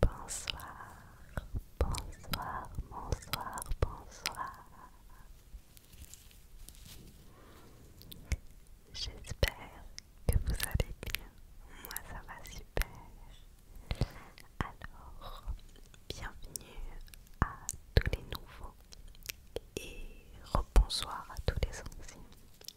Bonsoir, bonsoir, bonsoir, bonsoir. J'espère que vous allez bien. Moi, ça va super. Alors, bienvenue à tous les nouveaux et rebonsoir à tous les anciens.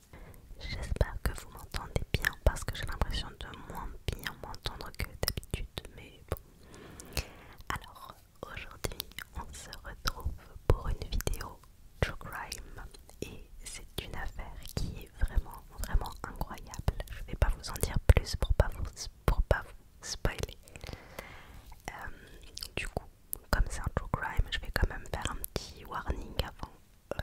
J'espère que vous m'entendez bien parce que j'ai l'impression de moins bien m'entendre que d'habitude, mais bon. Alors aujourd'hui, on se retrouve pour une vidéo True Crime et c'est une affaire qui est vraiment, vraiment incroyable. Je vais pas vous en dire plus pour pas vous, pour pas vous spoiler. Euh, du coup, comme c'est un true crime, je vais quand même faire un petit warning avant euh,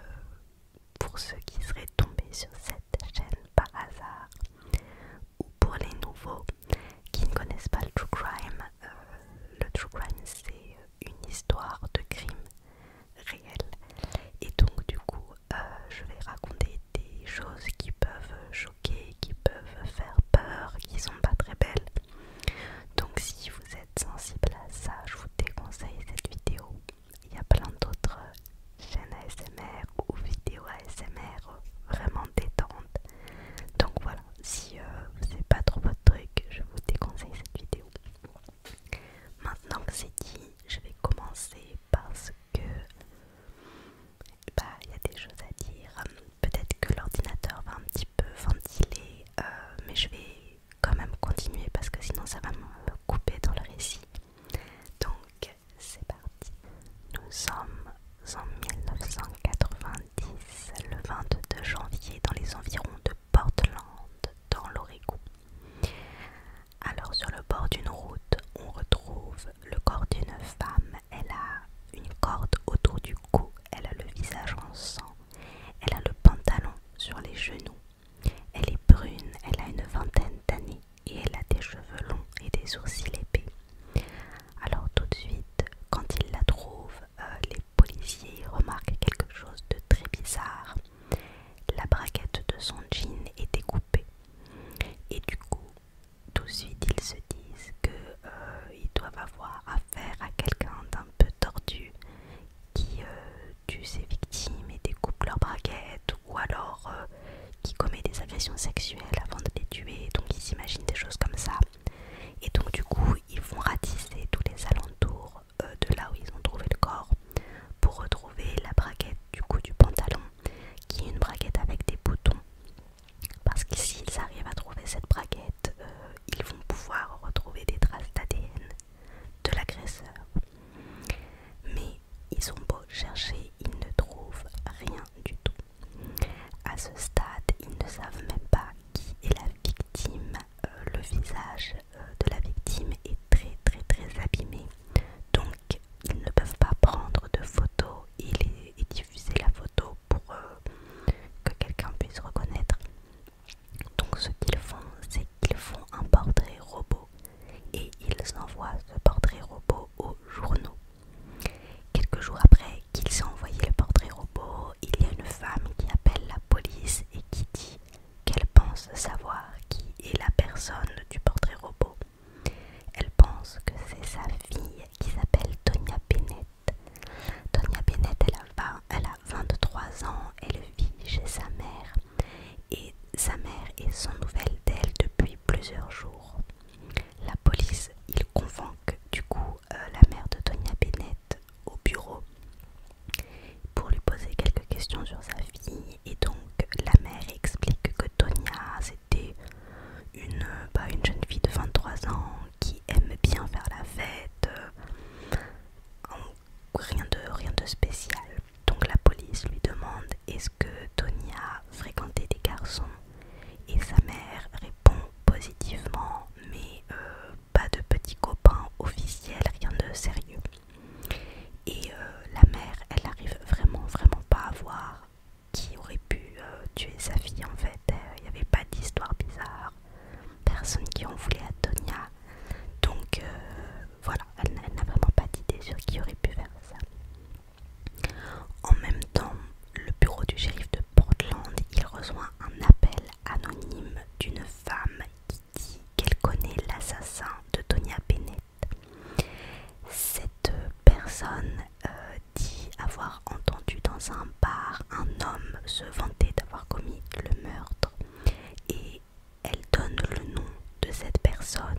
pour ceux qui seraient tombés sur cette chaîne par hasard ou pour les nouveaux qui ne connaissent pas le true crime. Euh, le true crime, c'est une histoire de crime réel et donc du coup, euh, je vais raconter des choses qui peuvent choquer, qui peuvent faire peur, qui sont pas très belles. Donc si vous êtes sensible à ça, je vous déconseille cette vidéo. Il y a plein d'autres chaînes ASMR ou vidéos ASMR vraiment détentes. Donc voilà, si euh, c'est pas trop votre truc, je vous déconseille cette vidéo. Maintenant que c'est dit, je vais commencer parce que bah, il y a des choses à dire. Peut-être que l'ordinateur va un petit peu ventiler, euh, mais je vais quand même continuer parce que sinon ça va me couper dans le récit. Donc c'est parti. Nous sommes en 1990, le 22 janvier, dans les environs de Portland, dans l'Oregon. Alors sur le bord d'une route, on retrouve le corps d'une femme. Elle a une corde autour du cou, elle a le visage en sang elle a le pantalon sur les genoux. Elle est brune, elle a une vingtaine d'années et elle a des cheveux longs et des sourcils épais. Alors tout de suite, quand ils la trouvent, euh, les policiers remarquent quelque chose de très bizarre. La braquette de son jean est découpée. Et du coup, tout de suite, ils se disent qu'ils euh, doivent avoir faire à quelqu'un d'un peu tordu qui euh, tue ses victimes et découpe leurs braquettes ou alors euh, qui commet des agressions sexuelles avant de les tuer, donc ils s'imaginent des choses comme ça. Et donc du coup ils vont ratisser tous les alentours euh, de là où ils ont trouvé le corps pour retrouver la braquette du coup du pantalon qui est une braquette avec des boutons. Parce que s'ils arrivent à trouver cette braquette, ils vont pouvoir retrouver des traces d'ADN de l'agresseur. Mais ils ont beau chercher, ils ne trouvent rien du tout. À ce stade, ils ne savent même pas qui est la victime. Euh, le visage euh, de la victime est très très très abîmé. Donc ils ne peuvent pas prendre de photos et, diffuser la photo pour euh, que quelqu'un puisse reconnaître. Donc ce qu'ils font, c'est qu'ils font un portrait robot et ils envoient ce portrait robot aux journaux. Quelques jours après qu'ils aient envoyé le portrait robot, il y a une femme qui appelle la police et qui dit qu'elle pense savoir qui est la personne du portrait robot. Elle pense que c'est sa fille qui s'appelle Tonia Bennett Tonia Bennett, elle a, 23 ans, elle vit chez sa mère et sa mère est sans nouvelles d'elle depuis plusieurs jours. La police, il convoque du coup euh, la mère de Tonia Bennett au bureau pour lui poser quelques questions sur sa fille et donc la mère explique que Tonia c'était une, bah, une jeune fille de 23 ans qui aime bien faire la fête, euh, rien de, spécial. Donc la police lui demande est-ce que Tony a fréquenté des garçons et sa mère répond positivement mais euh, pas de petits copains officiels, rien de sérieux. Et euh, la mère, elle arrive vraiment, vraiment pas à voir qui aurait pu tuer sa fille en fait. Il n'y avait pas d'histoire bizarre, Personne qui en voulait à Tonya. Donc euh, voilà, elle, n'a vraiment pas d'idée sur qui aurait pu faire ça. En même temps, le bureau du shérif de Portland, il reçoit un appel anonyme d'une femme qui dit qu'elle connaît l'assassin de Tonya Bennett. Cette personne euh, dit avoir entendu dans un par un homme se vantait d'avoir commis le meurtre et elle donne le nom de cette personne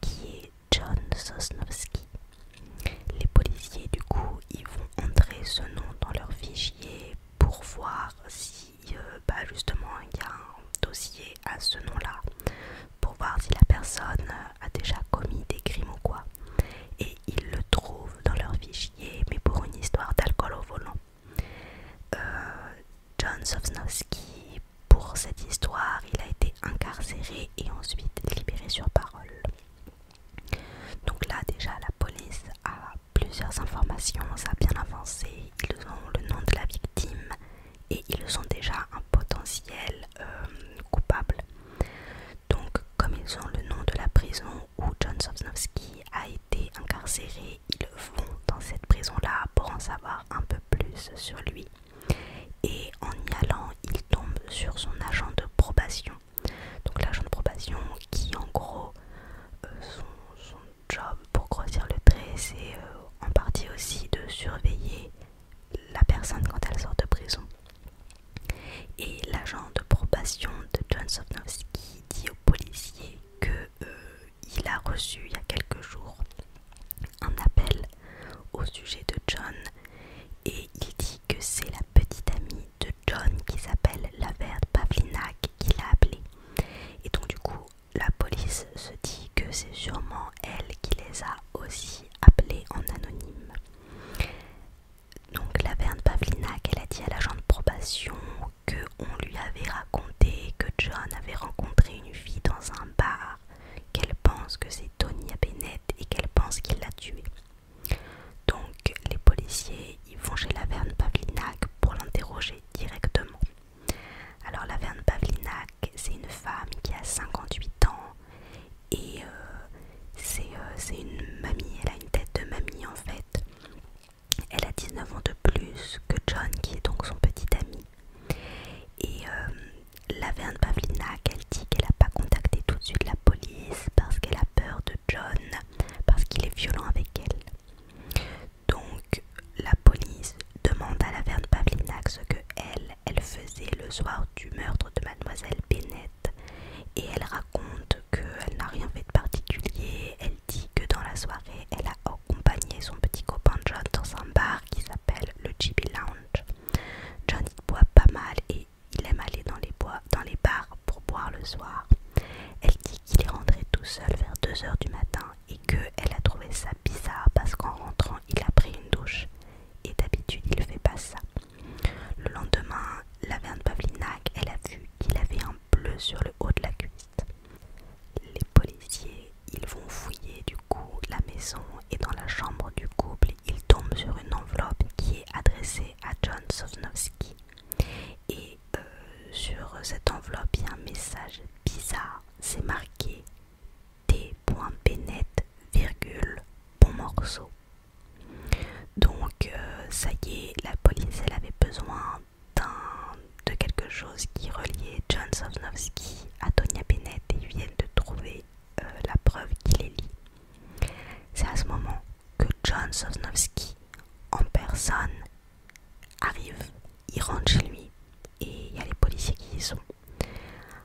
qui est John Sosnowski. Les policiers du coup ils vont entrer ce nom dans leur fichier pour voir si euh, bah, justement il y a un dossier à ce nom-là pour voir si la personne a déjà commis des crimes ou quoi ils le trouvent dans leur fichier, mais pour une histoire d'alcool au volant. Euh, John Sosnowski, pour cette histoire, il a été incarcéré et ensuite libéré sur parole. Donc là déjà la police a plusieurs informations, ça a bien avancé, ils ont le nom de la victime et ils ont déjà un potentiel euh, coupable. Donc comme ils ont le nom de la prison, où John Sosnowski a été incarcéré, ils vont dans cette prison-là pour en savoir un peu plus sur lui. Et en y allant, il tombe sur son agent de probation. Donc l'agent de probation qui en gros, euh, son, job pour grossir le trait, c'est euh, en partie aussi de surveiller la personne quand elle sort de prison. Et l'agent de probation de John Sofnowski dit au policier qu'il euh, a reçu il y a quelques jours un appel au sujet de John et il dit que c'est la petite amie de John qui s'appelle la verte Pavlinak qui l'a appelé. Et donc du coup la police se dit que c'est sûrement elle qui les a aussi appelés en anonyme donc la Verne Pavlinac, elle a dit à l'agent de probation qu'on lui avait raconté que John avait rencontré une fille dans un bar, qu'elle pense que c'est Tony Bennett et qu'elle pense qu'il l'a tuée. Donc les policiers, ils vont chez Laverne Pavlinac pour l'interroger directement. Alors Laverne Pavlinac, c'est une femme qui a 58 ans et euh, euh, c'est une mamie, elle a une tête de mamie en fait. Elle a 19 ans de plus que John, qui est donc son petit ami. Et laverne euh, la Verne dit qu'elle n'a pas contacté tout de suite la police parce qu'elle a peur de John, parce qu'il est violent avec elle. Donc la police demande à la Verne ce que elle, elle faisait le soir du meurtre de mademoiselle Bennett. Et elle raconte qu'elle n'a rien fait de particulier. Elle dit que dans la soirée, elle a accompagné son petit copain John dans un bar qui s'appelle le Chibi Lounge. John boit pas mal et il aime aller dans les, dans les bars pour boire le soir. Elle dit qu'il est rentré tout seul vers 2h du matin et qu'elle a trouvé ça bizarre parce qu'en rentrant, il a pris une douche. Et d'habitude, il ne fait pas ça. Le lendemain, la verne Pavlinac, elle a vu qu'il avait un bleu sur le haut de la cuisse. Les policiers, ils vont fouiller du coup la maison et dans la chambre du couple, ils tombent sur une enveloppe qui est adressée à John Sosnowski. Et euh, sur cette enveloppe, il y a un message bizarre. C'est marqué T.Bennett, virgule, bon morceau, donc euh, ça y est, la police elle avait besoin de quelque chose qui reliait John Sosnowski à Tonia Bennett et ils viennent de trouver euh, la preuve qu'il est lié. C'est à ce moment que John Sosnowski en personne arrive, il rentre chez lui et il y a les policiers qui y sont.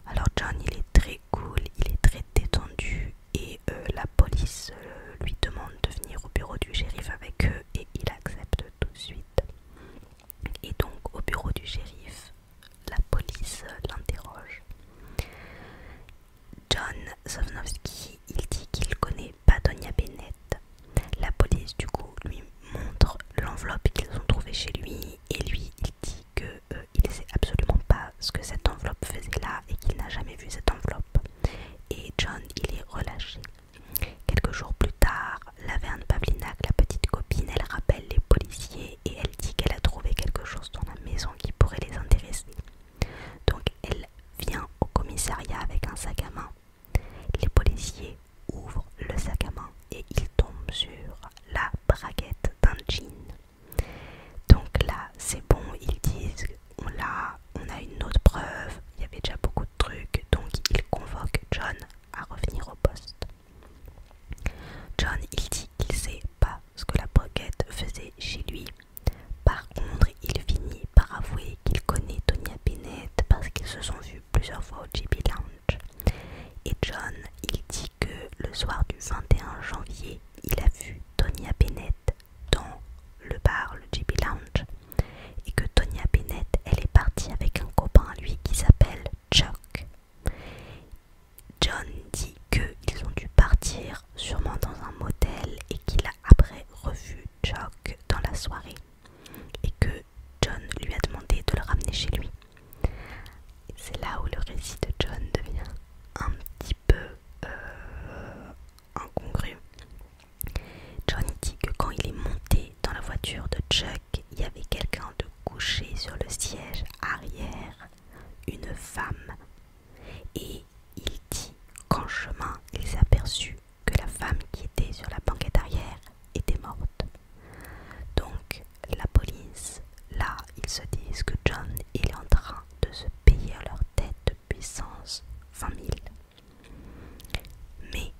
Alors John il est très cool, il est très détendu, et euh, la police euh, lui demande de venir au bureau du shérif avec eux et il accepte tout de suite. Et donc au bureau du shérif, la police l'interroge. John Sovnovsky il dit qu'il connaît pas Donia Bennett. La police du coup lui montre l'enveloppe qu'ils ont trouvée chez lui et lui il dit qu'il euh, ne sait absolument pas ce que cette enveloppe faisait là et qu'il n'a jamais vu cette enveloppe. Et John, il est relâché. Quelques jours plus tard, la Laverne Pavlinak, la petite copine, elle rappelle les policiers et elle dit qu'elle a trouvé quelque chose dans la maison qui pourrait les intéresser. Donc elle vient au commissariat avec un sac à main. Les policiers ouvrent le sac à main et ils tombent sur la braguette d'un jean. Donc là, c'est bon, ils disent on on a une autre preuve, il y avait déjà beaucoup de trucs, donc ils convoquent John à revenir au poste. John, il dit qu'il sait pas ce que la broquette faisait chez lui. Par contre, il finit par avouer qu'il connaît Tonya Bennett parce qu'ils se sont vus plusieurs fois au JB Lounge. Et John, il dit que le soir du 21 janvier, il a vu Tonya Bennett dans le bar, le JB Lounge, et que Tonya Bennett, elle est partie avec un copain à lui qui s'appelle Chuck. John dit qu'ils ont dû partir sûrement dans un motel et qu'il a après revu Chuck dans la soirée et que John lui a demandé de le ramener chez lui. C'est là où le récit de John devient un petit peu euh, incongru. John dit que quand il est monté dans la voiture de Chuck, il y avait quelqu'un de couché sur le siège arrière, une femme. Et il dit qu'en chemin, il s'est que la femme qui était sur la banquette arrière était morte. Donc la police, là, ils se disent que John il est en train de se payer leur tête de puissance 20 000. Mais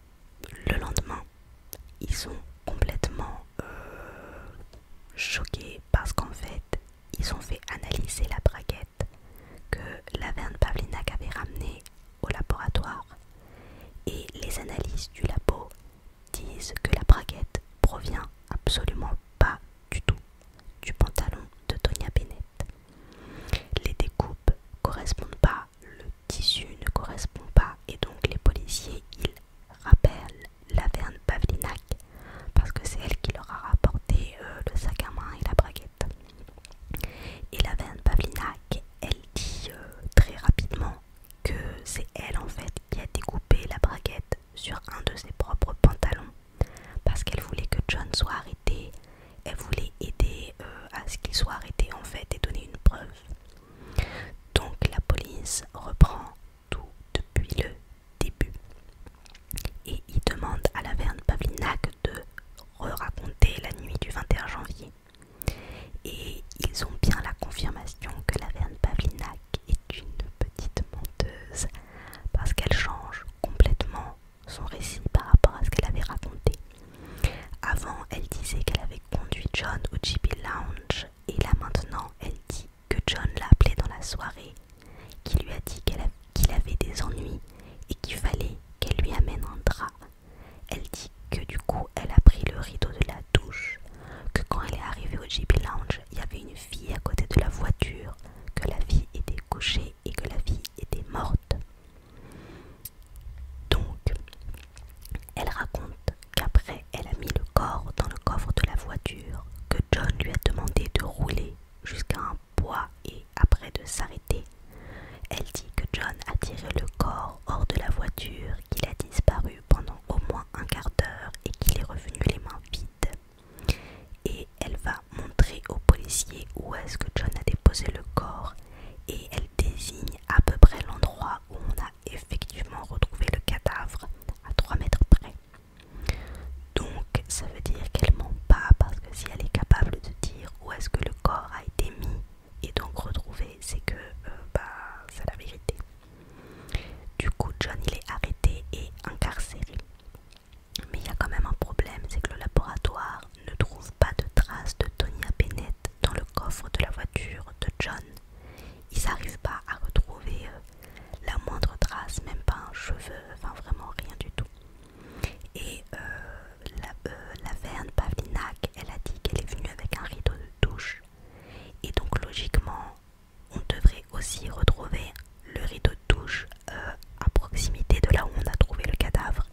le lendemain, ils sont complètement euh, choqués parce qu'en fait, ils ont fait analyser la braquette que Laverne Pavlinac avait ramenée au laboratoire. Et les analyses du labo disent que la braquette provient absolument pas du tout du pantalon de Tonya Bennett. Les découpes correspondent pas, le tissu ne correspond pas et donc les policiers ils rappellent Laverne Pavlinac parce que c'est elle qui leur a rapporté euh, le sac à main et la braguette. Et Laverne Pavlinac elle dit euh, très rapidement que c'est elle en fait qui a découpé la braguette sur un de ses propres pantalons parce qu'elle voulait que John soit arrêté, elle voulait aider euh, à ce qu'il soit arrêté en fait et donner une preuve. Donc la police reprend tout depuis le début et ils demandent à la Verne Pavlinac de raconter la nuit du 21 janvier. Et ils ont bien la confirmation que la Verne est une petite menteuse parce qu'elle change complètement son récit par rapport à ce qu'elle avait raconté. Avant, elle disait qu'elle avait conduit John au JB Lounge et là maintenant, elle dit que John l'a appelé dans la soirée, qu'il lui a dit qu'il avait des ennuis et qu'il fallait qu'elle lui amène un drap. Elle dit que du coup, elle a pris le rideau de la douche, que quand elle est arrivée au JB Lounge, il y avait une fille à côté de la voiture, que la fille était couchée et que la fille était morte. Donc, elle raconte qu'après, elle a mis le corps dans le coffre de la voiture, que John lui a demandé de rouler jusqu'à un bois et après de s'arrêter. Elle dit que John a tiré le corps hors de la voiture, qu'il a disparu pendant au moins un quart d'heure et qu'il est revenu les mains vides et elle va montrer au policier où est-ce que John a déposé le corps et elle désigne à peu près l'endroit où on a effectivement retrouvé le cadavre à 3 mètres près. Donc ça veut dire qu'elle ment pas parce que si elle est capable de dire où est-ce que le corps a été mis et donc retrouvé, c'est que euh, bah, c'est la vérité. Du coup John il est arrêté et incarcéré. Mais il y a quand même un problème, c'est que le laboratoire ne trouve pas de traces de Tonya Bennett dans le coffre de la voiture de John. Ils n'arrivent pas à retrouver euh, la moindre trace, même pas un cheveu, enfin vraiment rien du tout. Et euh, la, euh, la Verne Pavlinac, elle a dit qu'elle est venue avec un rideau de douche. Et donc logiquement, on devrait aussi retrouver le rideau de touche euh, à proximité de là où on a trouvé le cadavre.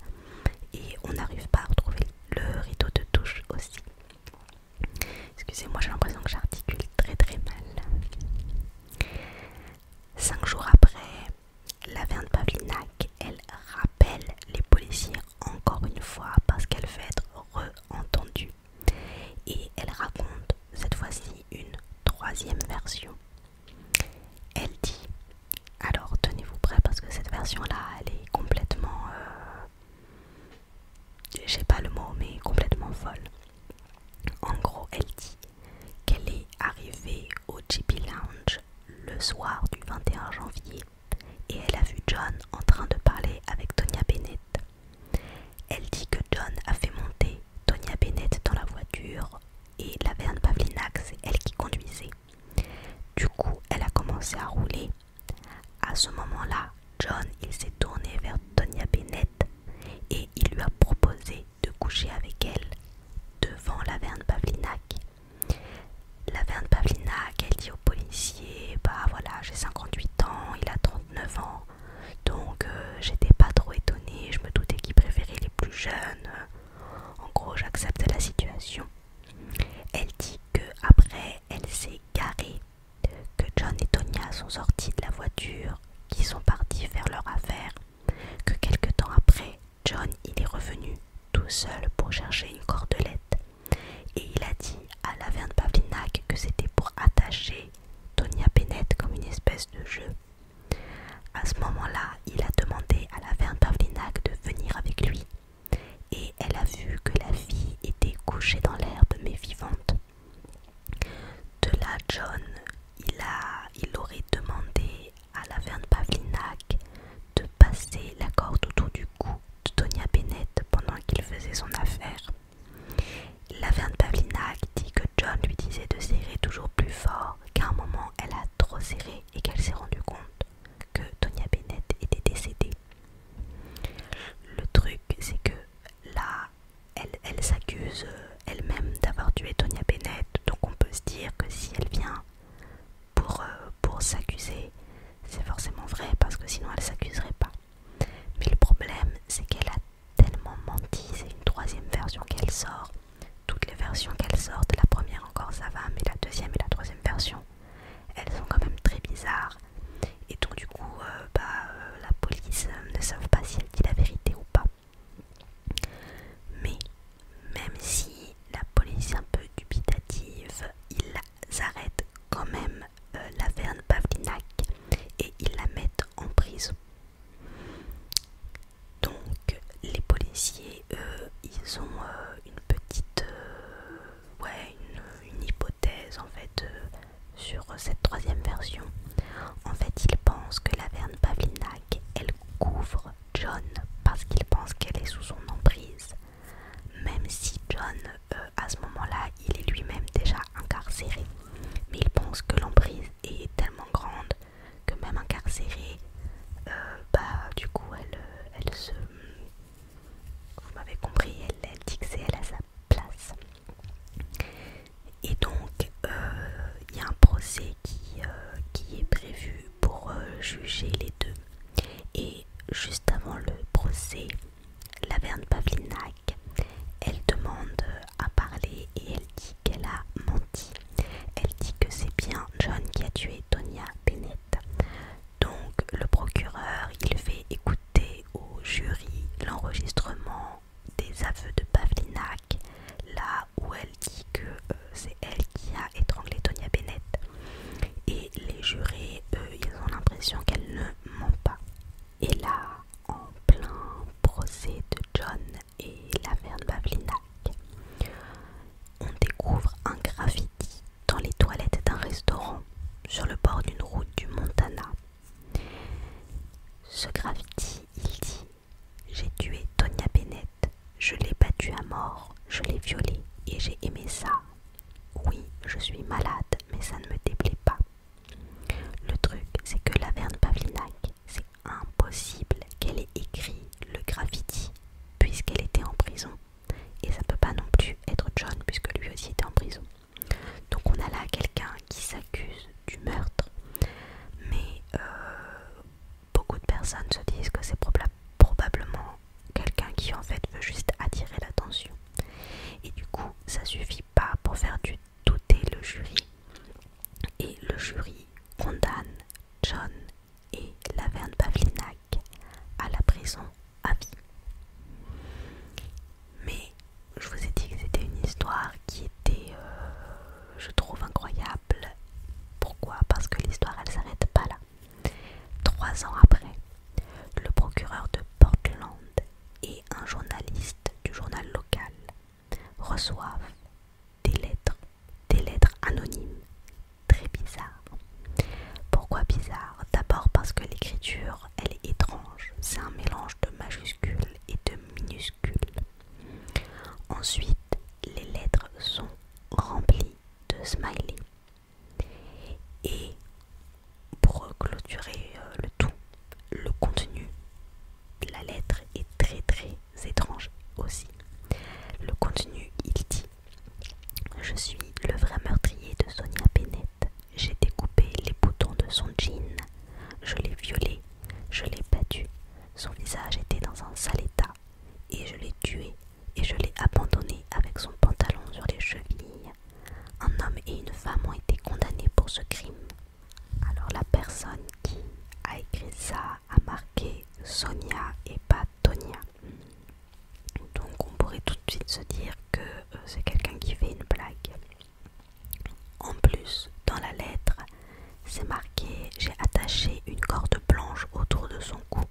Et on n'arrive pas à retrouver le rideau de touche aussi. Excusez-moi, j'ai l'impression que j'articule très très mal. Cinq jours après, la de Pavlinac, elle rappelle les policiers encore une fois parce qu'elle veut être re-entendue. Et elle raconte cette fois-ci une troisième version. Elle dit, alors tenez-vous prêt parce que cette version-là, elle est complètement, euh, je sais pas le mot, mais complètement folle. En gros, elle dit qu'elle est arrivée au JP Lounge le soir du 21 janvier et elle a vu John en train de parler avec Tonia Bennett elle dit que John a fait monter Tonya Bennett dans la voiture et Laverne Pavlinac, c'est elle qui conduisait. Du coup, elle a commencé à rouler. À ce moment-là, John, il s'est tourné vers Tonya Bennett et il lui a proposé de coucher avec elle devant Laverne Pavlinac. Laverne Pavlinac, elle dit au policier, bah voilà, j'ai 58 ans, il a 39 ans, donc euh, j'étais pas trop étonnée, je me doutais qu'ils préféraient les plus jeunes. En gros, j'accepte la situation. Elle dit que après, elle s'est garée, que John et Tonya sont sortis de la voiture, qu'ils sont partis faire leur affaire, que quelque temps après, John il est revenu tout seul pour chercher une cordelette et il a dit à la Pavlinac que c'était pour attacher Tonia Bennett comme une espèce de jeu. À ce moment-là, il a demandé à la Verne Pavlinac de venir avec lui, et elle a vu que la fille était couchée dans l'herbe mais vivante. De là, John, il, a, aurait demandé à la Verne Pavlinac de passer la corde autour du cou de Tonia Bennett pendant qu'il faisait son affaire. La de Pavlina dit que John lui disait de serrer toujours plus fort, qu'à un moment elle a trop serré et qu'elle s'est rendue compte que Tonya Bennett était décédée. Le truc, c'est que là, elle, s'accuse euh, elle-même d'avoir tué Tonya Bennett, donc on peut se dire que si elle vient pour, euh, pour s'accuser, c'est forcément vrai parce que sinon elle s'accuserait pas. Mais le problème, c'est qu'elle a tellement menti, c'est une troisième version qu'elle sort. Toutes les versions qu'elle sort, la première encore ça va, mais la deuxième et la troisième version, elles sont quand même très bizarres. Et donc du coup, euh, bah, euh, la police euh, ne savent pas si elle dit la vérité ou pas. Mais même si la police est un peu dubitative, ils arrêtent quand même la Verne Pavlinac et ils la mettent en prison. Donc les policiers, eux, ils ont euh, une petite... Euh, ouais, une, hypothèse en fait euh, sur cette troisième version. En fait, ils pensent que la Verne Pavlinak, elle couvre John parce qu'ils pensent qu'elle est sous son emprise. Même si John, à ce moment-là, il est lui-même déjà incarcéré mais il pense que l'emprise est tellement grande que même incarcérée, euh, bah du coup euh, elle, se... Vous m'avez compris, elle, elle dit que c'est elle à sa place. Et donc euh, il y a un procès qui, est prévu pour juger les deux. Et juste avant le procès, Laverne Pavlinac elle demande à parler et elle dit qu'elle a menti. Elle dit que c'est bien John qui a tué Tonya Bennett. Donc le procureur, il fait écouter au jury l'enregistrement des aveux de Pavlinac, là où elle dit que euh, c'est elle qui a étranglé Tonya Bennett. Et les jurés, eux, ils ont l'impression qu'elle ne ment pas. Et là, en plein procès de John et l'affaire de Pavlinac, on découvre un graffiti dans les toilettes d'un restaurant sur le bord d'une route du Montana. Ce graffiti, il dit J'ai tué Tonya Bennett, je l'ai battue à mort, je l'ai violée et j'ai aimé ça. Oui, je suis malade, mais ça ne me déplaît pas. Le truc, c'est que Laverne Pavlinac, c'est impossible qu'elle ait écrit le graffiti puisqu'elle était en prison. Et ça peut pas non plus être John puisque lui aussi était en prison. Donc on a là quelqu'un qui s'accuse du meurtre, mais euh, beaucoup de personnes se disent que c'est probablement quelqu'un qui en fait veut juste attirer l'attention. Et du coup, ça suffit pas pour faire du est le jury et le jury condamne John et Laverne Pavlinac à la prison à vie. Mais je vous ai dit que c'était une histoire qui était, euh, je trouve, incroyable. Pourquoi Parce que l'histoire, elle s'arrête pas là. Trois ans après, le procureur de Portland et un journaliste du journal local reçoivent des lettres, des lettres anonymes, très bizarres. Pourquoi bizarres D'abord parce que l'écriture, elle est étrange, c'est un mélange de majuscules et de minuscules. Ensuite, les lettres sont remplies de smileys. Et pour clôturer euh, le tout, le contenu, la lettre est très très étrange aussi. Le contenu, il dit Je suis le vrai meurtrier de Sonia Bennett. J'ai découpé les boutons de son jean. Je l'ai violée. Je l'ai battue. Son visage était dans un sale état. Et je l'ai tué. Et je l'ai abandonné avec son pantalon sur les chevilles. Un homme et une femme ont été condamnés pour ce crime. Alors la personne qui a écrit ça a marqué Sonia et pas Tonia. Donc on pourrait tout de suite se dire que euh, c'est quelqu'un qui fait une blague. En plus, dans la lettre, c'est marqué j'ai attaché une corde blanche autour de son cou.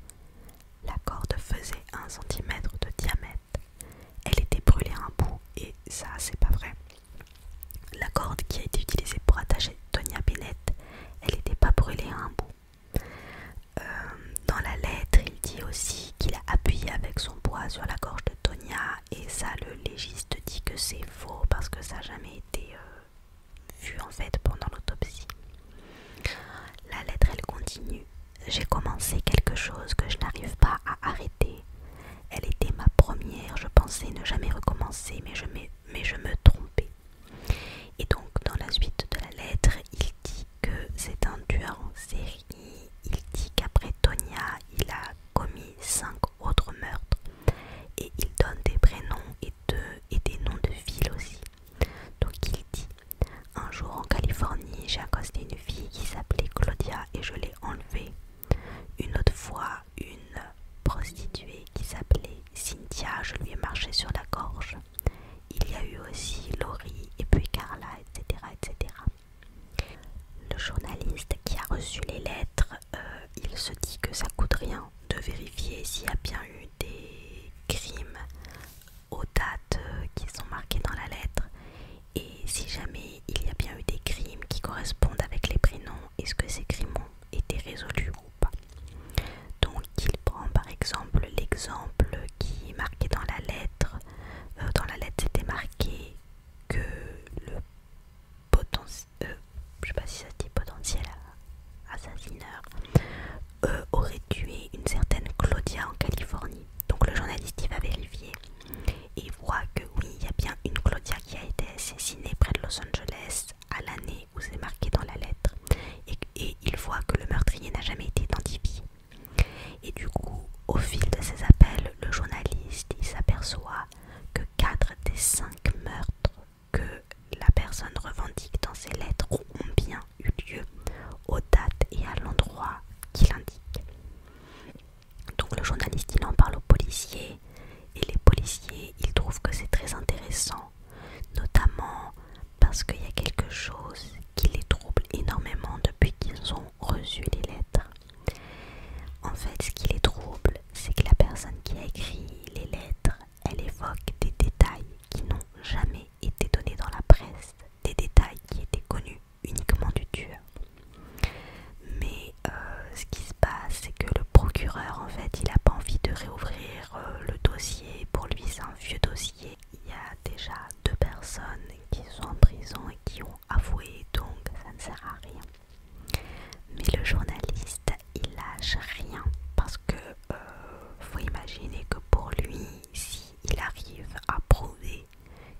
La corde faisait 1 cm de diamètre. Elle était brûlée à un bout et ça, c'est pas vrai. La corde qui a été utilisée pour attacher Tonia Bennett, elle n'était pas brûlée à un bout. Euh, dans la lettre, il dit aussi qu'il a appuyé avec son poids sur la gorge de Tonia et ça, le légiste dit que c'est faux parce que ça n'a jamais été euh, vu en fait pendant l'autopsie. La lettre, elle continue. J'ai commencé quelque chose que je n'arrive pas à arrêter. Elle était ma première, je pensais ne jamais recommencer, mais je, me trompais. Et donc dans la suite de la lettre, il dit que c'est un tueur en série. Il dit qu'après Tonia, il a commis cinq autres meurtres. Et il donne des prénoms et, et des noms de villes aussi. Donc il dit, un jour en Californie, j'ai accosté une fille qui s'appelait Claudia et je l'ai enlevée. Une autre fois, une prostituée qui s'appelait Cynthia, je lui ai marché sur la gorge. Il y a eu aussi Laurie et puis Carla, etc. etc. Le journaliste qui a reçu les lettres, euh, il se dit que ça coûte rien de vérifier s'il y a bien eu des crimes aux dates euh, qui sont marquées dans la lettre et si jamais il y a bien eu des crimes qui correspondent avec les prénoms, est-ce que ces crimes ont été résolus ou pas Donc il prend par exemple l'exemple qui est marqué dans la lettre. Euh, dans la lettre c'était marqué que le potentiel, euh, sais pas si ça potentiel assassineur, euh, aurait tué une certaine Claudia en Californie. Donc le journaliste il va vérifier et voit que oui, il y a bien une Claudia qui a été assassinée près de Los Angeles à l'année où c'est marqué dans la lettre et, il voit que le meurtrier n'a jamais été identifié. Et du coup, au fil de ses appels, le journaliste s'aperçoit que 4 des 5 meurtres que la personne revendique dans ses lettres ont bien eu lieu aux dates et à l'endroit qu'il indique. Donc le journaliste il en parle aux policiers et les policiers ils trouvent que c'est très intéressant, notamment parce qu'il y a quelque chose qui les trouble énormément depuis qu'ils ont reçu les lettres. En fait ce qui les trouble c'est que la personne qui a écrit les lettres elle évoque des détails qui n'ont jamais été donnés dans la presse, des détails qui étaient connus uniquement du tueur. Mais euh, ce qui se passe, c'est que le procureur, en fait, il n'a pas envie de réouvrir euh, le dossier. Pour lui, c'est un vieux dossier. Il y a déjà deux personnes qui sont en prison et qui ont avoué, donc ça ne sert à rien. Mais le journaliste, il lâche rien parce que euh, faut imaginer que pour lui, s'il il arrive à prouver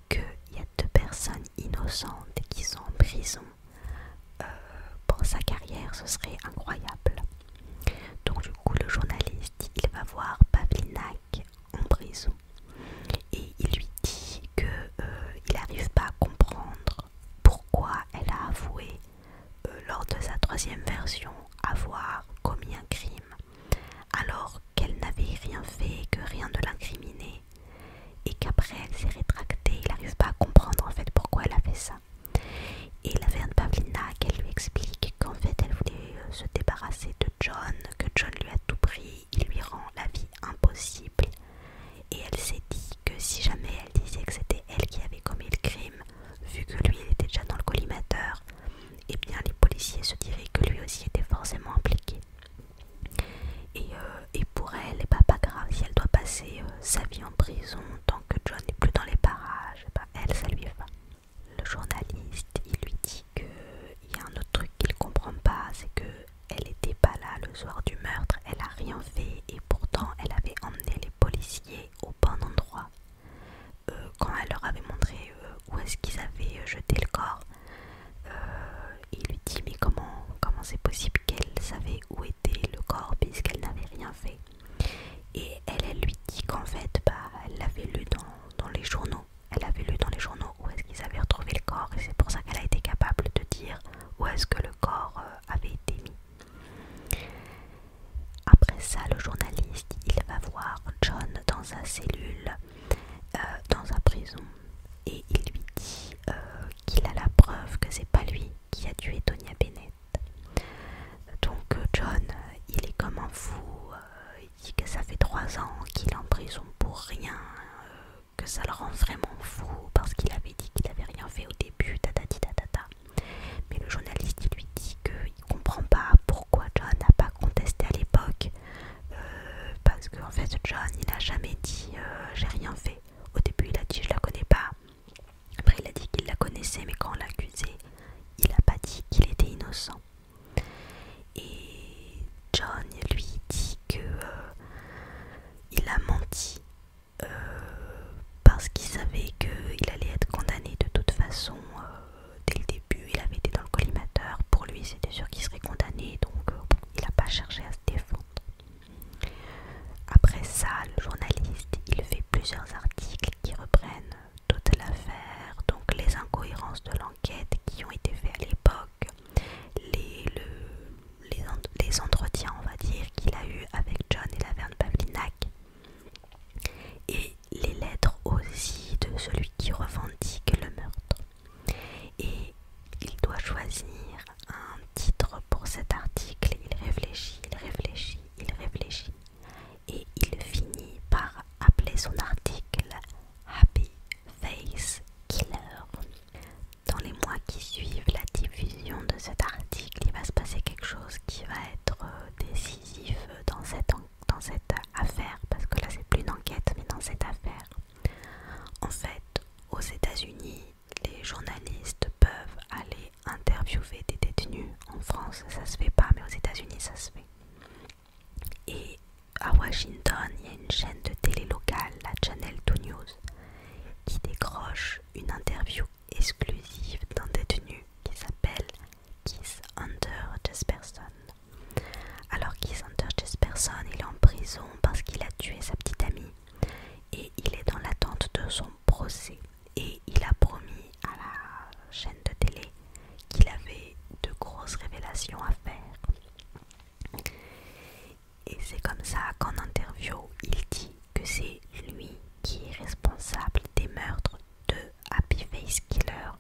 qu'il y a deux personnes innocentes qui sont en prison euh, pour sa carrière, ce serait incroyable. Donc du coup, le journaliste, il va voir Pavlinak en prison et il lui dit qu'il euh, n'arrive pas à comprendre pourquoi elle a avoué euh, lors de sa troisième version avoir commis un crime alors qu'elle n'avait rien fait, que rien ne l'incriminait et qu'après elle s'est rétractée, il n'arrive pas à comprendre en fait pourquoi elle a fait ça. Et la Verne Pavlina qu'elle lui explique qu'en fait elle voulait euh, se débarrasser de John, que John lui a tout pris, il lui rend la vie impossible. Et elle s'est dit que si jamais elle disait que c'était elle qui avait commis le crime, vu que lui il était déjà dans le collimateur, eh bien les policiers se diraient que lui aussi était forcément impliqué. Euh, et, pour elle, et eh pas ben, pas grave, si elle doit passer euh, sa vie en prison tant que John n'est plus dans les parages, eh ben, elle, ça lui va. Le journaliste, il lui dit qu'il y a un autre truc qu'il comprend pas, c'est que elle n'était pas là le soir du meurtre, elle a rien fait et pourtant elle avait emmené les policiers au bon endroit. Euh, quand elle leur avait montré où est-ce qu'ils avaient jeté le corps, euh, il lui dit mais comment c'est possible qu'elle savait où était le corps puisqu'elle n'avait rien fait. Et elle, lui dit qu'en fait, bah, elle l'avait lu dans, les journaux. Elle avait lu dans les journaux où est-ce qu'ils avaient retrouvé le corps et c'est pour ça qu'elle a été capable de dire où est-ce que le corps euh, avait été mis. Après ça, le journaliste, il va voir John dans sa cellule euh, dans sa prison et il lui dit euh, qu'il a la preuve que c'est pas lui qui a tué Tonya Bennett. Donc euh, John, il est comme un fou, il dit que ça fait trois ans qu'il est en prison pour rien, que ça le rend vraiment fou parce qu'il avait dit qu'il avait rien fait au début, tatati Mais le journaliste il lui dit qu'il comprend pas pourquoi John n'a pas contesté à l'époque euh, parce qu'en en fait, John, il a jamais dit euh, j'ai rien fait. Au début, il a dit je la connais pas. Après, il a dit qu'il la connaissait, mais quand on l'accusait, il a pas dit qu'il était innocent. Et John lui dit que euh, il a menti parce qu'il savait qu'il allait être condamné de toute façon dès le début, il avait été dans le collimateur. Pour lui, c'était sûr qu'il serait condamné, donc euh, il n'a pas cherché à se défendre. Après ça, le journaliste, il fait plusieurs articles qui reprennent toute l'affaire, donc les incohérences de l'enquête qui ont été faites à l'époque, les, entretiens, on va dire, qu'il a eu avec John et la Verne Pavlinac, et les lettres aussi de celui qui revendique le meurtre. Et il doit choisir un titre pour cet article. Il réfléchit, il réfléchit, il réfléchit. Et il finit par appeler son article Happy Face Killer. Dans les mois qui suivent la diffusion de cet article, il va se passer quelque chose qui va être euh, décisif dans cette enquête dans cette affaire, parce que là c'est plus une enquête, mais dans cette affaire, en fait, aux États-Unis, les journalistes peuvent aller interviewer des détenus. En France, ça se fait pas, mais aux États-Unis, ça se fait. Et à Washington, il y a une chaîne de télé locale, la Channel 2 News, qui décroche une interview exclusive d'un détenu qui s'appelle Keith Under Jesperson. Alors cette personne, il est en prison parce qu'il a tué sa petite amie et il est dans l'attente de son procès et il a promis à la chaîne de télé qu'il avait de grosses révélations à faire. Et c'est comme ça qu'en interview, il dit que c'est lui qui est responsable des meurtres de Happy Face Killer.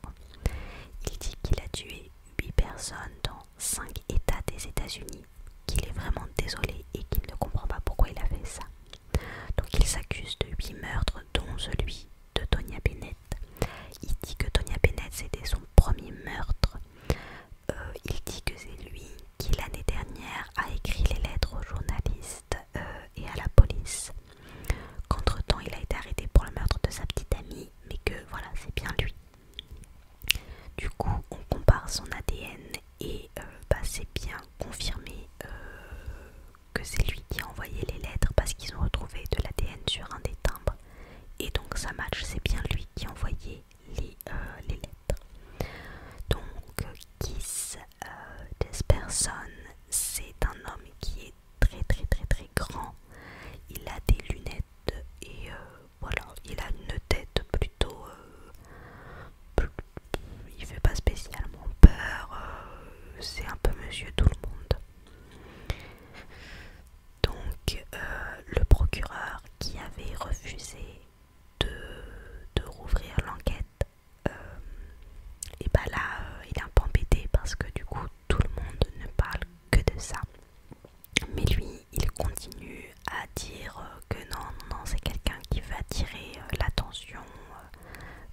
Il dit qu'il a tué 8 personnes dans cinq États des États-Unis qu'il est vraiment désolé et qu'il ne comprend pas pourquoi il a fait ça. Donc il s'accuse de huit meurtres dont celui de Tonya Bennett. Il dit que Tonya Bennett c'était son premier meurtre. Euh, il dit que c'est lui qui l'année dernière a écrit les lettres aux journalistes euh, et à la police. Qu'entre-temps il a été arrêté pour le meurtre de sa petite amie mais que voilà, c'est bien lui. Du coup, on compare son ADN et euh, bah, c'est bien confirmé euh, que c'est lui qui a envoyé les lettres parce qu'ils ont retrouvé de l'ADN sur un des timbres. Et donc ça match, c'est bien lui qui a envoyé les, euh, les lettres. Donc Kiss Desperson c'est un homme qui est très très très très grand. Il a des lunettes et euh, voilà, il a une tête plutôt... Euh, il fait pas spécialement peur, euh, c'est un peu monsieur tout le monde. Donc le procureur qui avait refusé de, rouvrir l'enquête, et bah là il est un peu embêté parce que du coup tout le monde ne parle que de ça. Mais lui, il continue à dire euh, que non, non, c'est quelqu'un qui va attirer euh, l'attention,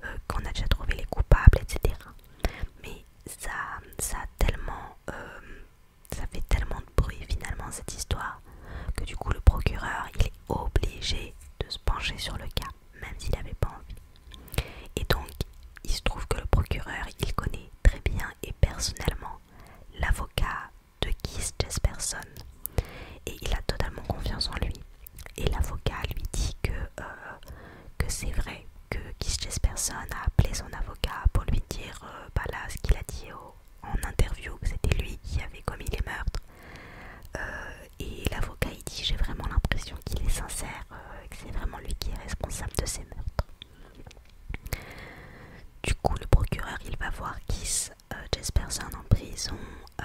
euh, qu'on a déjà trouvé les coupables, etc. Mais ça, tellement, ça fait tellement de bruit finalement cette histoire que du coup le procureur, il est obligé de se pencher sur le cas, même s'il n'avait pas envie. Et donc, il se trouve que le procureur, il connaît très bien et personnellement l'avocat de Keith Jesperson. Et il a totalement confiance en lui. Et l'avocat lui dit que, euh, que c'est vrai, que Keith Jesperson a appelé son avocat pour lui dire euh, bah ce qu'il a dit en interview, que c'était lui qui avait commis les meurtres. Euh, et l'avocat il dit j'ai vraiment l'impression qu'il est sincère euh, c'est vraiment lui qui est responsable de ces meurtres. Du coup, le procureur, il va voir Kiss Jesperson euh, en prison, euh,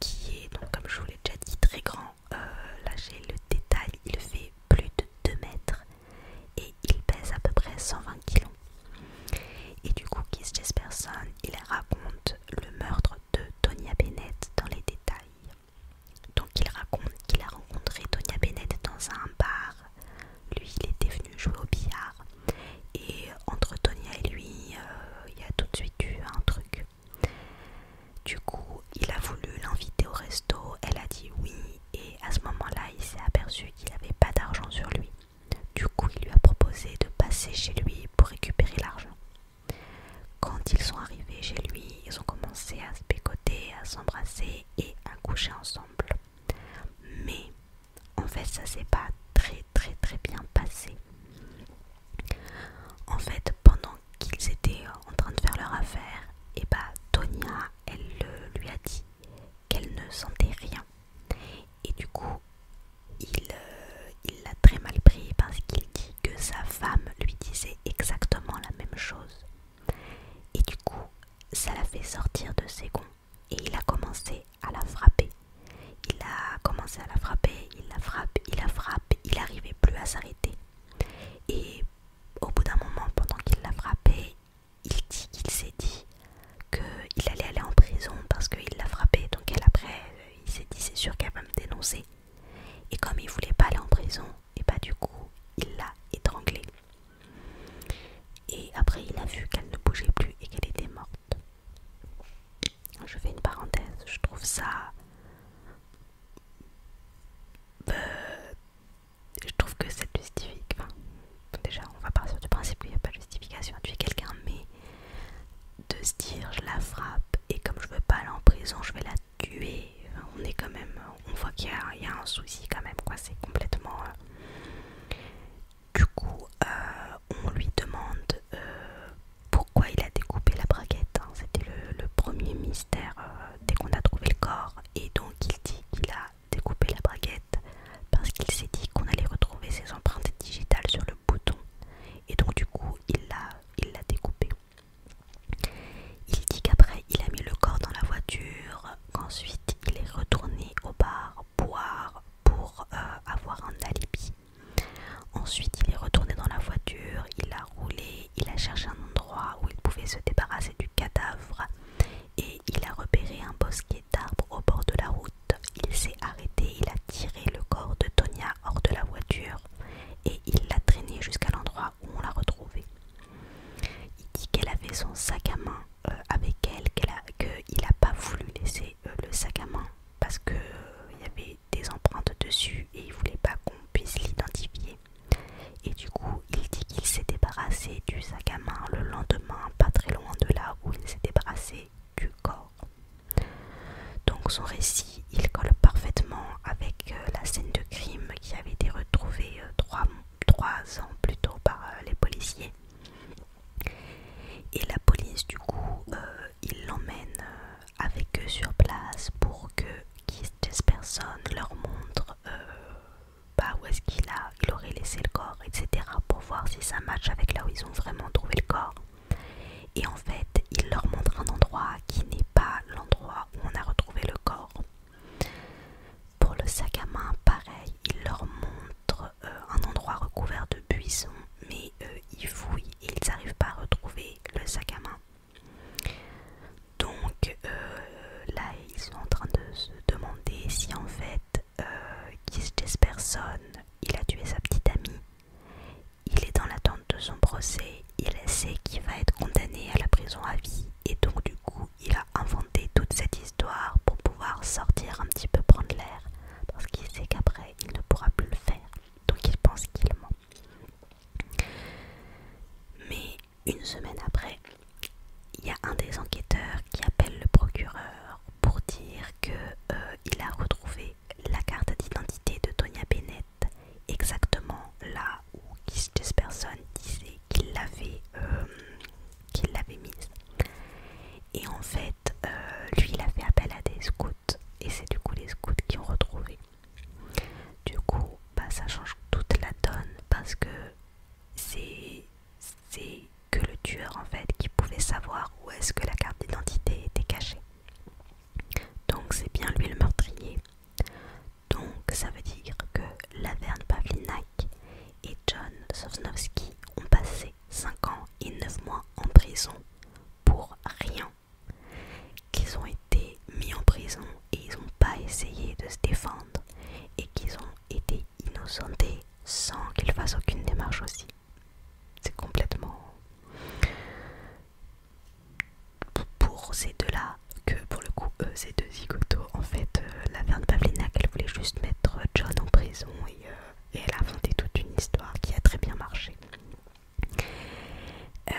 qui est, donc, comme je vous l'ai déjà dit, très grand. là, j'ai le détail, il fait plus de 2 mètres et il pèse à peu près 120 kg. Et du coup, Kiss Jesperson, il raconte le meurtre de Tonya Bennett dans les détails. Donc il raconte qu'il a rencontré Tonia Bennett dans un bar. Lui, il était venu jouer au billard. Et entre Tonya et lui, euh, il y a tout de suite eu un truc. Du coup, il a voulu l'inviter au resto. Elle a dit oui. Et à ce moment-là, il s'est aperçu qu'il n'avait pas d'argent sur lui. Du coup, il lui a proposé de passer chez lui pour récupérer l'argent. Quand ils sont arrivés chez lui, ils ont commencé à se bécoter, à s'embrasser et à coucher ensemble. Mais en fait, ça s'est pas très très très bien passé. En fait, pendant qu'ils étaient en train de faire leur affaire, et eh bah ben, Tonya, elle lui a dit qu'elle ne sentait rien. Et du coup, il euh, l'a très mal pris parce qu'il dit que sa femme lui disait exactement la même chose. Et du coup, ça l'a fait sortir de ses gonds et il a commencé à la frapper. Il a commencé à la frapper, il la frappe, il la frappe, il n'arrivait plus à s'arrêter. Et au bout d'un moment, pendant qu'il la frappait, il dit qu'il s'est dit qu'il allait aller en prison parce qu'il l'a frappée Donc après, euh, il s'est dit c'est sûr qu'elle va me dénoncer. Et comme il voulait pas aller en prison, et pas bah, du coup, il l'a étranglée. Et après, il a vu qu'elle ne bougeait plus et qu'elle était morte. Je fais une parenthèse, je trouve ça... Euh, je trouve que c'est justifié, Enfin, déjà, on va partir du principe qu'il n'y a pas de justification Tu tuer quelqu'un, mais de se dire je la frappe et comme je veux pas aller en prison, je vais la on est quand même, on voit qu'il y, a un souci quand même, C'est complètement. Euh, du coup, euh, on lui demande euh, pourquoi il a découpé la braguette. Hein. C'était le, premier mystère dès qu'on a trouvé le corps. Et donc, il dit qu'il a découpé la braguette parce qu'il s'est dit qu'on allait retrouver ses empreintes digitales sur le bouton. Et donc, du coup, il l'a découpé. Il dit qu'après il a mis le corps dans la voiture, qu'ensuite il est retourné au bar boire pour euh, avoir un alibi. Ensuite il est retourné dans la voiture, il a roulé, il a cherché un endroit où il pouvait se débarrasser du cadavre et il a repéré un bosquet d'arbres au bord de la route. Il s'est arrêté, il a tiré le corps de Tonia hors de la voiture et il l'a traîné jusqu'à l'endroit où on l'a retrouvée. Il dit qu'elle avait son sac à main euh, avec elle, qu'il n'a pas voulu laisser euh, le sac à main parce qu'il euh, y avait des empreintes dessus et il voulait pas qu'on puisse l'identifier. Et du coup, il dit qu'il s'est débarrassé du sac à main le lendemain, pas très loin de là où il s'est débarrassé du corps. Donc son récit il colle parfaitement avec euh, la scène de crime qui avait été retrouvée euh, trois, ans plus tôt par euh, les policiers. Et la police du coup, il l'emmène avec eux sur place pour que cette personne leur montre bah, où est-ce qu'il a, il aurait laissé le corps, etc. pour voir si ça match avec là où ils ont vraiment trouvé le corps et en fait il leur montre un endroit qui n'est pas l'endroit où on a retrouvé le corps. Pour le sac à main, pareil, il leur montre euh, un endroit recouvert de buissons, mais euh, ils fouillent et ils n'arrivent pas à retrouver le sac à main. Donc euh, là, ils sont en train de se demander si en fait euh, il a tué sa petite amie il est dans l'attente de son procès, il sait qu'il va être condamné à la prison à vie et donc du coup il a inventé toute cette histoire pour pouvoir sortir un petit peu prendre l'air parce qu'il sait qu'après il ne pourra plus le faire donc il pense qu'il ment. Mais une semaine après, il y a un des enquêteurs qui appelle le procureur pour dire que euh, il a retrouvé la carte d'identité de Tonya Bennett exactement là où personnes disait euh, qu'il l'avait mise. Et en fait, euh, lui, il a fait appel à des scouts. Et c'est du coup les scouts qui ont retrouvé. Du coup, bah, ça change toute la donne parce que c'est que le tueur en fait qui pouvait savoir où est-ce que la carte d'identité était cachée. Donc c'est bien lui le meurtrier. Donc ça veut dire que Laverne Pavlinac et John Sosnowski ont passé 5 ans et 9 mois en prison pour rien. Qu'ils ont été mis en prison et ils n'ont pas essayé de se défendre et qu'ils ont été innocentés sans qu'ils fassent aucune démarche aussi. C'est complètement pour ces deux-là que pour le coup, eux, ces deux zigotos. En fait, Laverne euh, la Verne Pavlina, elle voulait juste mettre John en prison euh, et, elle a inventé toute une histoire qui a très bien marché. Euh,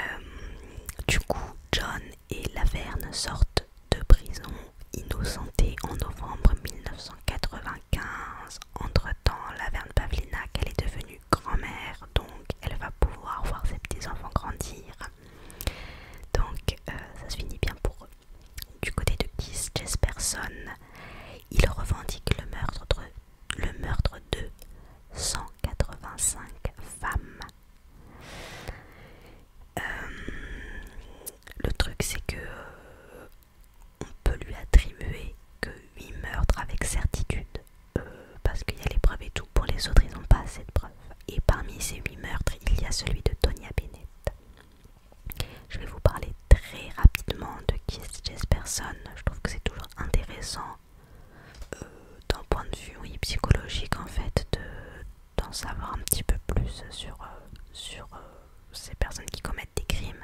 du coup, John et Laverne sortent de prison innocentés en novembre 1995. Entre-temps, Laverne Pavlina, qu'elle est devenue grand-mère, donc elle va pouvoir voir ses petits-enfants grandir. Donc euh, ça se finit bien pour eux. Du côté de Keith Jesperson, il revendique le meurtre de, le meurtre de 185 femmes. Euh, le truc c'est que euh, on peut lui attribuer que 8 meurtres avec certitude, euh, parce qu'il y a les preuves et tout. Pour les autres, ils n'ont pas assez de preuves. Et parmi ces huit meurtres, il y a celui de Tonya Bennett. Je vais vous parler très rapidement de qui est personne Je trouve que c'est toujours intéressant euh, d'un point de vue psychologique en fait d'en savoir un petit peu plus sur, euh, sur ces personnes qui commettent des crimes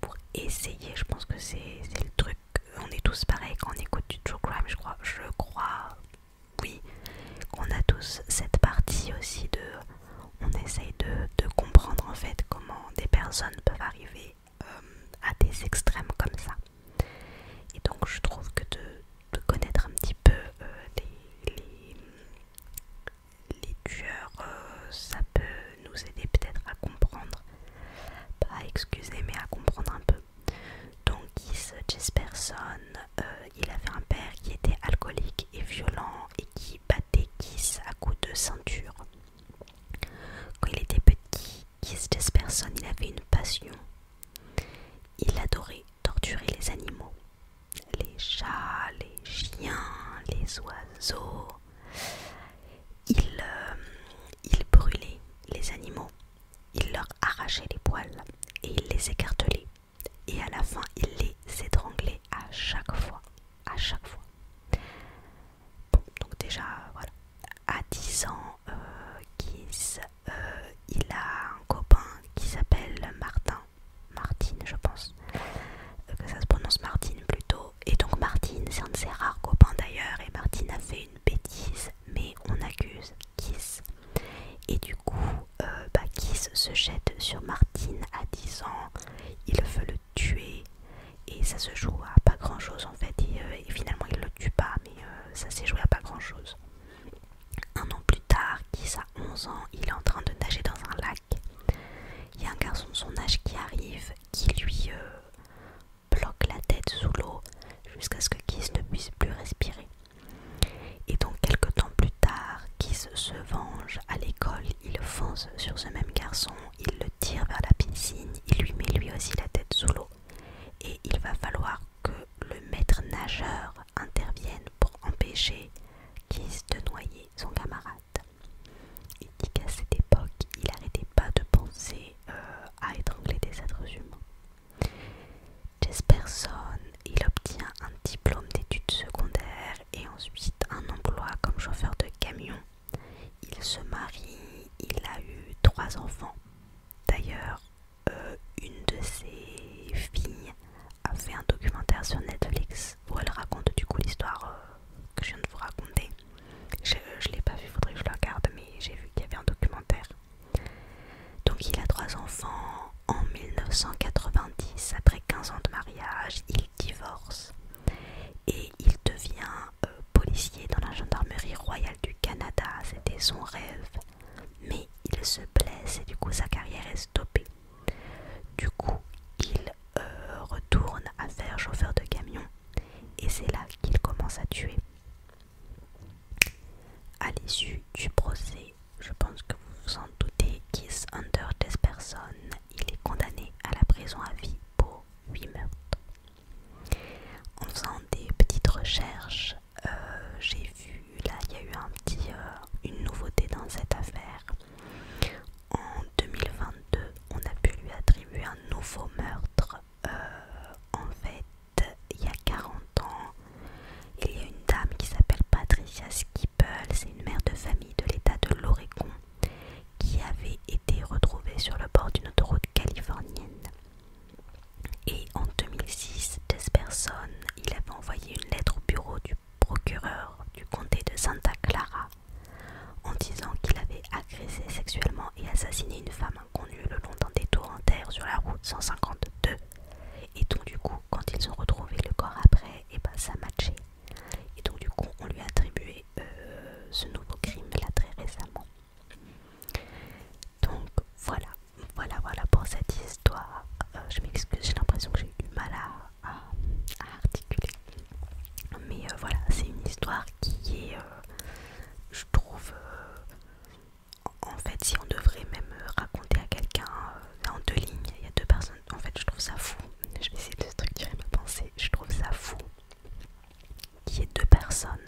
pour essayer. Je pense que c'est le truc on est tous pareils quand on écoute du true crime, je crois. Je crois, oui, qu'on a tous cette partie aussi de. On essaye de, comprendre en fait comment des personnes peuvent arriver euh, à des extrêmes comme ça. Et donc, je trouve que de, connaître un petit peu euh, les, tueurs, euh, ça peut nous aider peut-être à comprendre pas à excuser mais à comprendre un peu. Donc Keith Jesperson, euh, il avait un père qui était alcoolique et violent et qui battait Keith à coups de ceinture. Quand il était petit, Keith Jesperson, il avait une passion. Il adorait torturer les animaux. Les chats, les chiens, les oiseaux. Euh, il, brûlait les animaux, il leur arrachait les poils et il les écartelait. Et à la fin, il les étranglait à chaque fois. À chaque fois. Bon, donc déjà, voilà. À 10 ans, euh, euh, il a un copain qui s'appelle Martin. Martine, je pense. que ça se prononce Martine plutôt. Et donc Martine, c'est un de ses rares copains d'ailleurs. Et Martine a fait bêtise, mais on accuse Kiss. Et du coup, euh, bah, Kiss se jette sur Martine à 10 ans, il veut le tuer, et ça se joue à pas grand chose en fait. Euh, et, finalement, il le tue pas, mais euh, ça s'est joué à pas grand chose. Un an plus tard, Kiss a 11 ans, il est en train de nager dans un lac. Il y a un garçon de son âge qui arrive, qui lui bloque la tête sous l'eau jusqu'à ce que Kiss ne puisse plus respirer. Et donc quelques temps plus tard, Kiss se venge à l'école, il fonce sur ce même garçon, il le tire vers la piscine, il lui met lui aussi la tête sous l'eau. Et il va falloir que le maître nageur intervienne pour empêcher Kiss de noyer son camarade. Il dit qu'à cette époque, il n'arrêtait pas de penser euh, à étrangler des êtres humains. Jesperson, il obtient un diplôme d'études secondaires et ensuite un emploi comme chauffeur de camion. Il se marie, il a eu trois enfants. D'ailleurs, euh, une de ses filles a fait un documentaire sur Netflix où elle raconte du coup l'histoire euh, que je viens de vous raconter. Je ne l'ai pas vu, faudrait que je le regarde, mais j'ai vu qu'il y avait un documentaire. Donc il a trois enfants en 1990, après 15 ans de mariage, il divorce et il devient euh, policier dans la gendarmerie royale du Canada, c'était son rêve. Mais il se blesse et du coup sa carrière est stoppée. Du coup, il euh, retourne à faire chauffeur de camion et c'est là qu'il commence à tuer. À l'issue du procès, je pense que vous vous en doutez, Kiss Under personnes, il est condamné à la prison à vie pour 8 meurtres. En faisant des petites recherches, euh, j'ai vu, là il y a eu un petit, euh, une nouveauté dans cette affaire. En 2022, on a pu lui attribuer un nouveau meurtre euh, en fait, il y a 40 ans, il y a une dame qui s'appelle Patricia Skippels, c'est une mère de famille de l'état de l'Oregon, qui avait été retrouvée sur le bord d'une autoroute californienne. Et en 2006, personne, il avait envoyé une lettre au bureau du procureur du comté de Santa Clara en disant qu'il avait agressé sexuellement et assassiné une femme inconnue le long d'un détour en terre sur la route 152. Et donc du coup, quand ils ont retrouvé le corps après, et eh ben ça matchait. Et donc du coup, on lui a attribué euh, ce nouveau crime là très récemment. Donc voilà, voilà, voilà pour cette histoire. Euh, je m'excuse, j'ai l'impression que j'ai eu du mal à, articuler. Mais euh, voilà, c'est une histoire qui est je trouve euh, en fait si on devrait même euh, raconter à quelqu'un euh, en deux lignes il y a deux personnes en fait je trouve ça fou je vais essayer de structurer ma pensée je trouve ça fou qu'il y ait deux personnes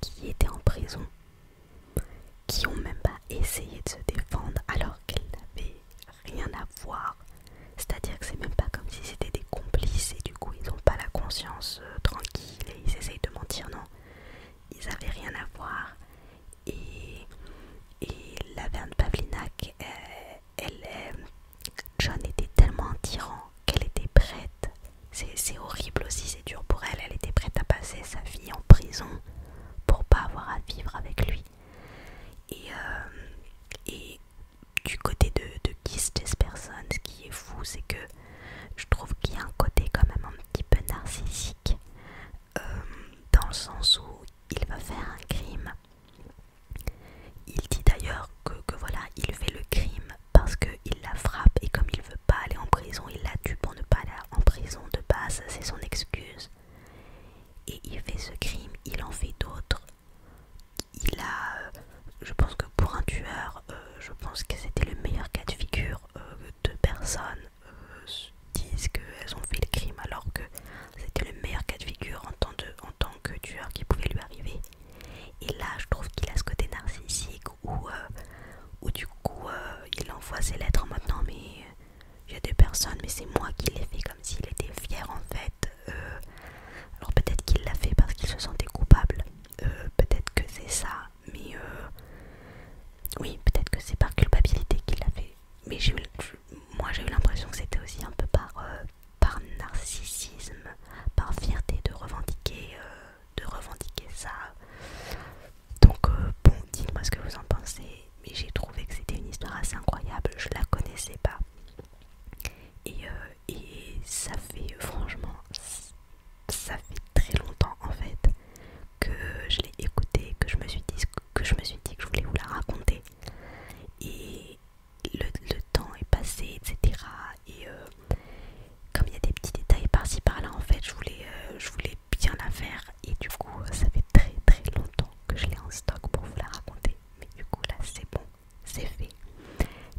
qui étaient en prison qui ont même pas essayé de se défendre alors qu'elles n'avaient rien à voir c'est à dire que c'est même pas comme si c'était des complices et du coup ils ont pas la conscience euh, tranquille et ils essayent de mentir, non. Ils avaient rien à voir. Et, et la veine Pavlinac, euh, elle, est... Euh, John était tellement un tyran qu'elle était prête. C'est horrible aussi, c'est dur pour elle. Elle était prête à passer sa vie en prison pour pas avoir à vivre avec lui du côté de, de Jesperson, ce qui est fou, c'est que je trouve qu'il y a un côté quand même un petit peu narcissique, euh, dans le sens où il va faire un crime. Il dit d'ailleurs que, voilà, il fait le crime parce qu'il la frappe et comme il veut pas aller en prison, il la tue pour ne pas aller en prison de base, c'est son excuse. Et il fait ce crime, il en fait d'autres il a, euh, je pense que pour un tueur, euh, je pense que c'était le meilleur cas de figure. Euh, deux personnes disent qu'elles ont fait le crime alors que c'était le meilleur cas de figure en tant, que tueur qui pouvait lui arriver. Et là, je trouve qu'il a ce côté narcissique où, du coup, il envoie ses lettres en mode mais il y a des personnes, mais c'est moi qui les fais comme s'il était fier en fait euh, alors peut-être qu'il l'a fait parce qu'il se sentait coupable, euh, peut-être que c'est ça, mais euh, oui, peut-être que c'est par culpabilité qu'il l'a fait. Mais moi j'ai eu l'impression que c'était aussi un peu par, par narcissisme, par fierté de revendiquer, de revendiquer ça. Donc bon, dites-moi ce que vous en pensez, mais j'ai trouvé que c'était une histoire assez incroyable, je la connaissais pas. Euh, et, ça fait franchement, ça fait très longtemps en fait que je l'ai écouté que je me suis dit que je me suis dit que je voulais vous la raconter. Et le, temps est passé, etc. Et euh, comme il y a des petits détails par-ci par-là, en fait, je voulais, euh, je voulais bien la faire. Et du coup, ça fait très très longtemps que je l'ai en stock pour vous la raconter. Mais du coup, là, c'est bon c'est fait.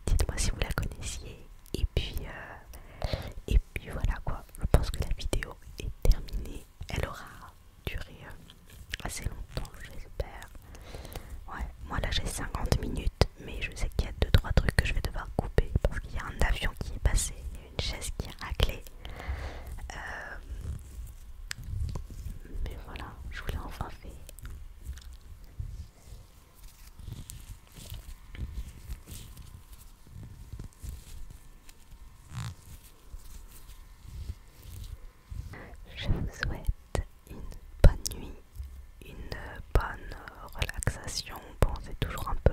Dites-moi si vous la connaissiez. Et puis, euh, et puis voilà quoi. Je pense que la vidéo est terminée. Elle aura duré euh, assez longtemps, j'espère. Ouais, moi là j'ai 50 minutes, mais je sais qu'il y a 2-3 trucs que je vais devoir couper parce qu'il y a un avion qui est passé, il une chaise qui a raclé. Euh, mais voilà, je vous l'ai enfin fait. Je vous souhaite une bonne nuit, une bonne relaxation. Bon, c'est toujours un peu.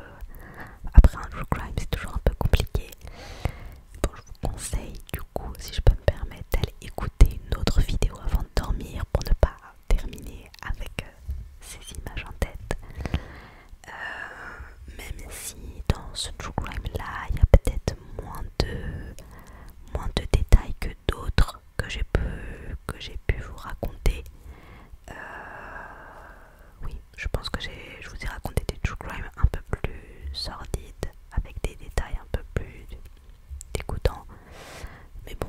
Après un true crime, c'est toujours un peu compliqué. Bon, je vous conseille, du coup, si je peux permet écouter une autre vidéo avant de dormir pour ne pas terminer avec euh, ces images en tête. Euh, même si dans ce true crime là, il y a peut-être moins de, moins de détails que d'autres que j'ai pu, pu vous raconter. Euh, oui, je pense que je vous ai raconté des true crime un peu plus sordides, avec des détails un peu plus dégoûtant. Mais bon,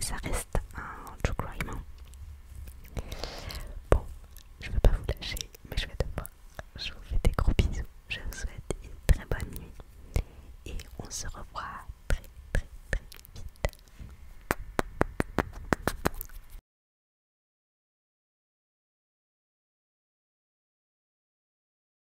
ça reste un true crime. Hein. Bon, je ne pas vous lâcher, mais je vais devoir. Je vous fais des gros bisous. Je vous souhaite une très bonne nuit. Et on se revoit très très très vite.